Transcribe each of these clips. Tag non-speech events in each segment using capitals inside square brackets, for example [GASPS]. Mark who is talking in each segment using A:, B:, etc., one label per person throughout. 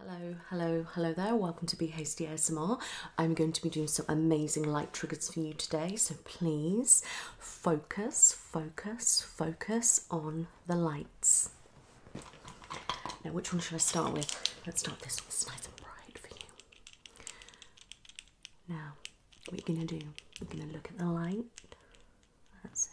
A: Hello, hello, hello there. Welcome to Be Hasty ASMR. I'm going to be doing some amazing light triggers for you today, so please focus, focus, focus on the lights. Now, which one should I start with? Let's start this one. It's bright for you. Now, what are going to do, you're going to look at the light. That's it.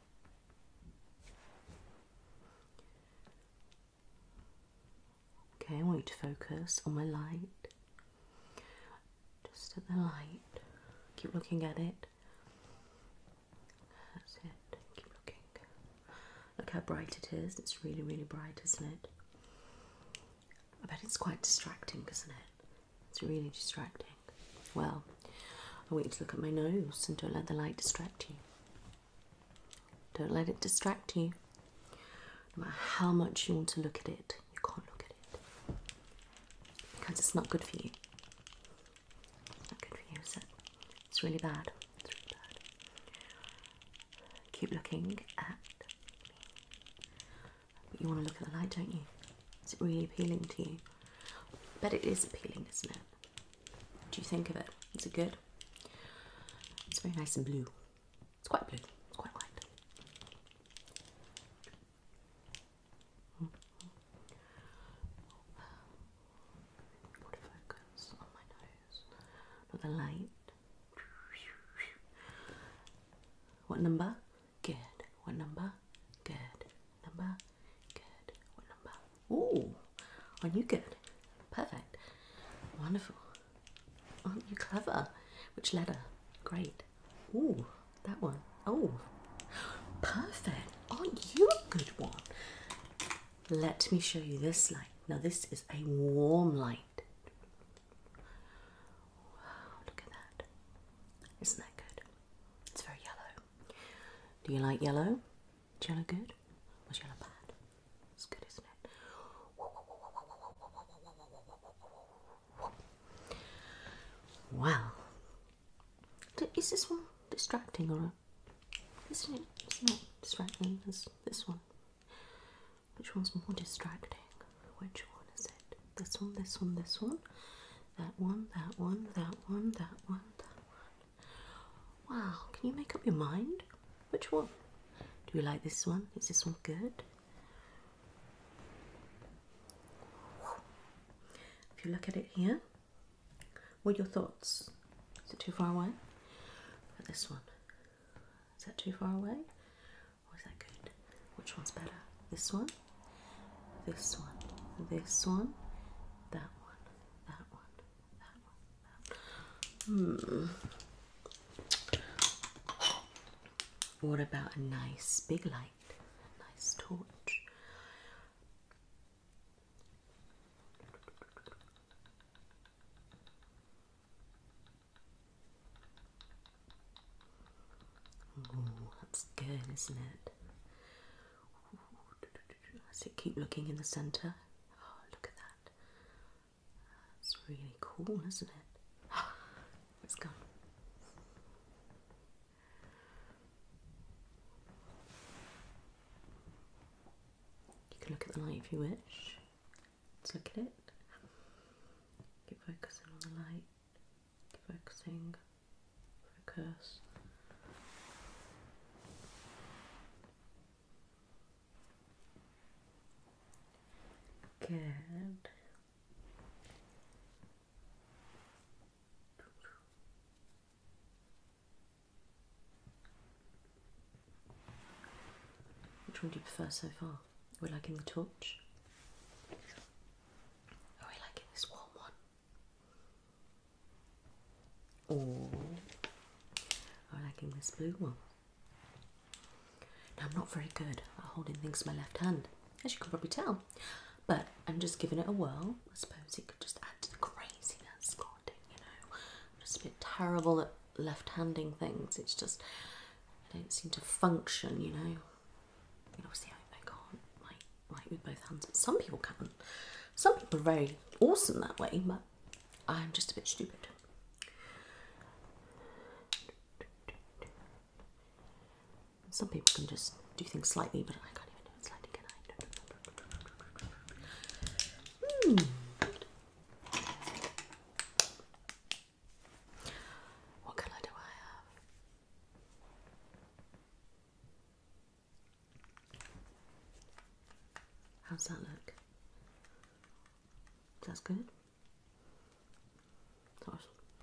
A: Okay, I want you to focus on my light. Just at the light. Keep looking at it. That's it. Keep looking. Look how bright it is. It's really, really bright, isn't it? I bet it's quite distracting, isn't it? It's really distracting. Well, I want you to look at my nose and don't let the light distract you. Don't let it distract you. No matter how much you want to look at it, you can't look at it. Because it's not good for you. It's not good for you, is It's really bad. Keep looking at me. You want to look at the light, don't you? Is it really appealing to you? But it is appealing, isn't it? What do you think of it? Is it good? It's very nice and blue. It's quite blue. It's quite light. Mm -hmm. on my nose? Not the light. What number? Good. What number? Good number? Good. What number? Ooh, aren't you good? Perfect. Wonderful. Aren't you clever? Which letter? Great. Ooh, that one. Oh, perfect. Aren't you a good one? Let me show you this light. Now, this is a warm light. Wow, look at that. Isn't that good? It's very yellow. Do you like yellow? Jello good? Was jello bad? It's good, isn't it? Well, is this one distracting or isn't it? It's not distracting as this one. Which one's more distracting? Which one is it? This one, this one, this one. That one, that one, that one, that one, that one. Wow, can you make up your mind? Which one? Do you like this one? Is this one good? If you look at it here, what are your thoughts? Is it too far away? this one. Is that too far away? Or is that good? Which one's better? This one? This one? This one? That one? Hmm. What about a nice big light, a nice torch? Ooh, that's good, isn't it? That's it, keep looking in the centre. Oh, look at that. That's really cool, isn't it? [GASPS] Let's go. You can look at the light if you wish. Let's look at it. Keep focusing on the light. Keep focusing Focus. Good. Which one do you prefer so far? We're liking the torch. Are we liking this warm one? Or I like in this blue one. I'm not very good at holding things in my left hand, as you can probably tell. But I'm just giving it a whirl. I suppose it could just add to the craziness, you know. just a bit terrible at left-handing things. It's just I don't seem to function, you know. obviously I can't like like with both hands. but Some people can. Some people are very awesome that way, but I'm just a bit stupid. Some people can just do things slightly, but I can't even do it slightly, can I? Hmm. What colour do I have? How's that look? That's good.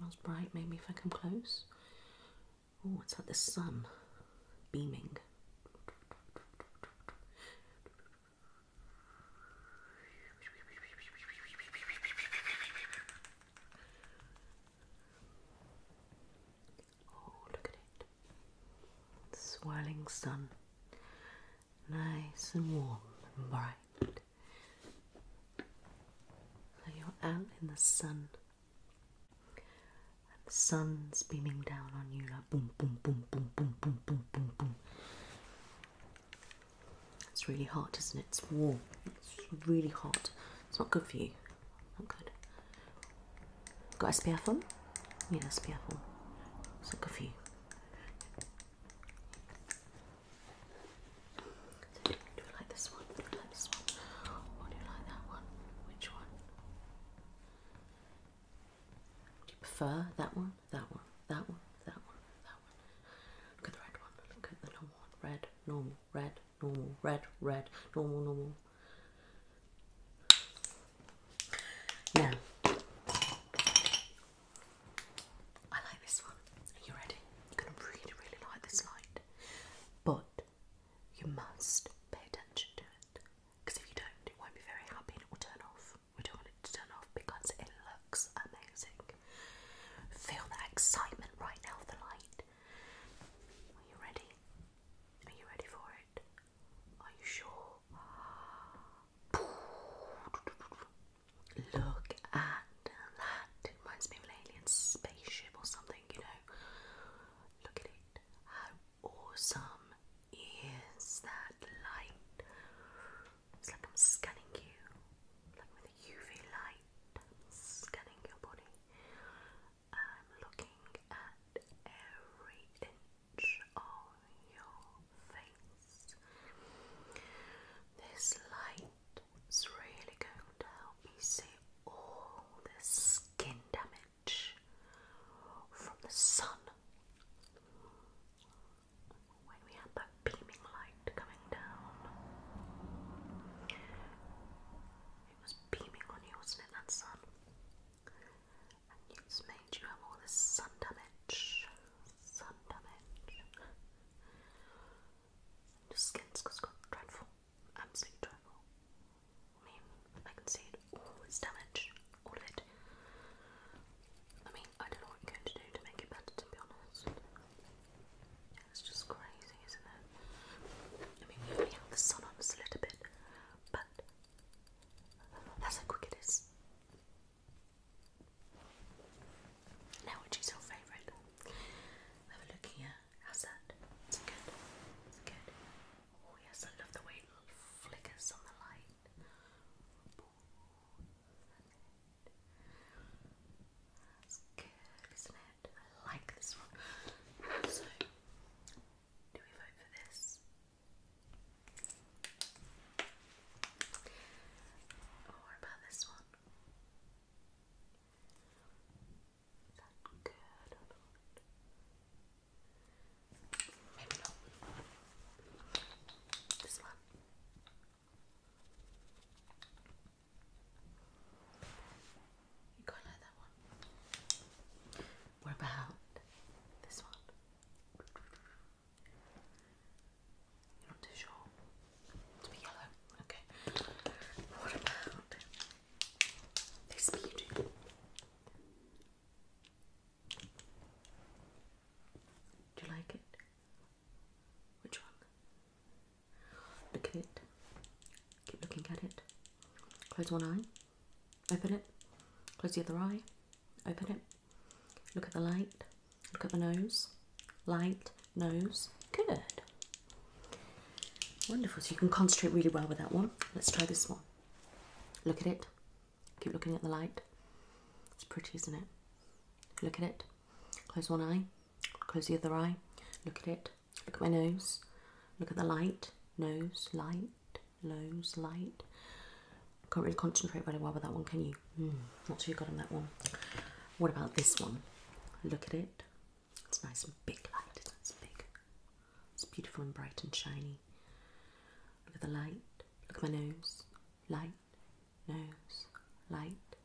A: That was, bright, Maybe if i come close. Oh, it's like the sun beaming. Oh, look at it. The swirling sun. Nice and warm and bright. So you're out in the sun. And the sun's beaming down on you like boom, boom, boom, boom, boom, boom, boom, boom, boom. It's really hot, isn't it? It's warm. It's really hot. It's not good for you. Not oh, good. Got a spare phone? Need a spare phone. It's like a few. Do you like this one? Do you like this one? Or do you like that one? Which one? Do you prefer that one? That one? That one? That one? That one? Look at the red one. Look at the normal one. Red, normal, red, normal, red, red, normal, normal, now, I like this one. you ready? You're going to really, really like this light. But you must pay attention to it. Because if you don't, it won't be very happy and it will turn off. We don't want it to turn off because it looks amazing. Feel that excitement right now the light. Are you ready? Are you ready for it? Are you sure? Look at that. It reminds me of an alien spaceship or something, you know. Look at it. How awesome is that light? It's like I'm scanning you, like with a UV light. scanning your body. I'm looking at every inch of your face. This light is really going to help me see all the skin damage from the sun. When we had that beaming light coming down, it was beaming on you, wasn't it? That sun. And it's made you have all this sun damage. Sun damage. Your skin's got dreadful. Absolutely dreadful. I mean, I can see it all its damage. All it. I mean, I don't know what you're going to do to make it better, to be honest. It's just crazy, isn't it? I mean, we only have the sun on a little bit, but that's how quick it is. Now, which is your favourite? Have a look here. How's that? Is it good? Is good? Oh, yes, I love the way it flickers on the light. That's good, isn't it? I like this one. So, do we vote for this? Or oh, about this one? Is that good or not? Maybe not. This one. You quite like that one. What about this one? You're not too sure. To be yellow. Okay. What about this beauty? Do you like it? Which one? Look at it. Keep looking at it. Close one eye. Open it. Close the other eye. Open it. Look at the light. Look at the nose. Light, nose. Good. Wonderful. So you can concentrate really well with that one. Let's try this one. Look at it. Keep looking at the light. It's pretty, isn't it? Look at it. Close one eye. Close the other eye. Look at it. Look at my nose. Look at the light. Nose, light lows, light. Can't really concentrate very well with that one, can you? Mm, not too good on that one. What about this one? Look at it. It's nice and big light, is it? It's big. It's beautiful and bright and shiny. Look at the light. Look at my nose. Light, nose, light,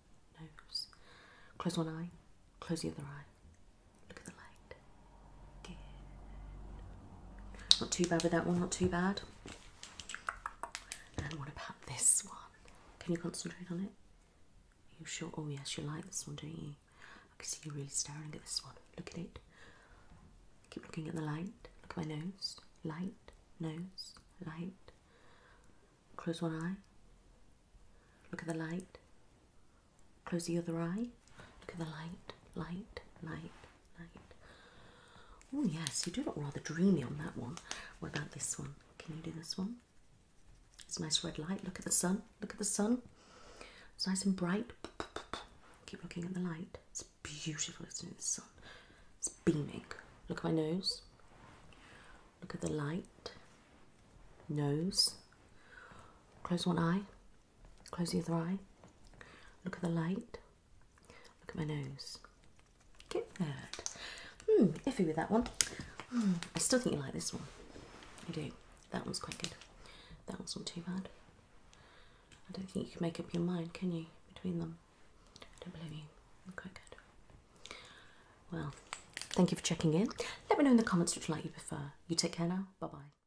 A: nose. Close one eye, close the other eye. Look at the light. Not too bad with that one, not too bad. And what about this one? Can you concentrate on it? you sure? Oh, yes, you like this one, don't you? I can see you're really staring at this one. Look at it. Keep looking at the light. Look at my nose. Light, nose, light. Close one eye. Look at the light. Close the other eye. Look at the light, light, light, light. Oh, yes, you do look rather dreamy on that one. What about this one? Can you do this one? It's nice red light. Look at the sun. Look at the sun. It's nice and bright. Keep looking at the light. It's beautiful, It's in The sun. It's beaming. Look at my nose. Look at the light. Nose. Close one eye. Close the other eye. Look at the light. Look at my nose. Get that. Hmm, iffy with that one. Mm, I still think you like this one. I do. That one's quite good. That one's not too bad. I don't think you can make up your mind, can you, between them? don't believe you. quite good. Well, thank you for checking in. Let me know in the comments which light you prefer. You take care now. Bye-bye.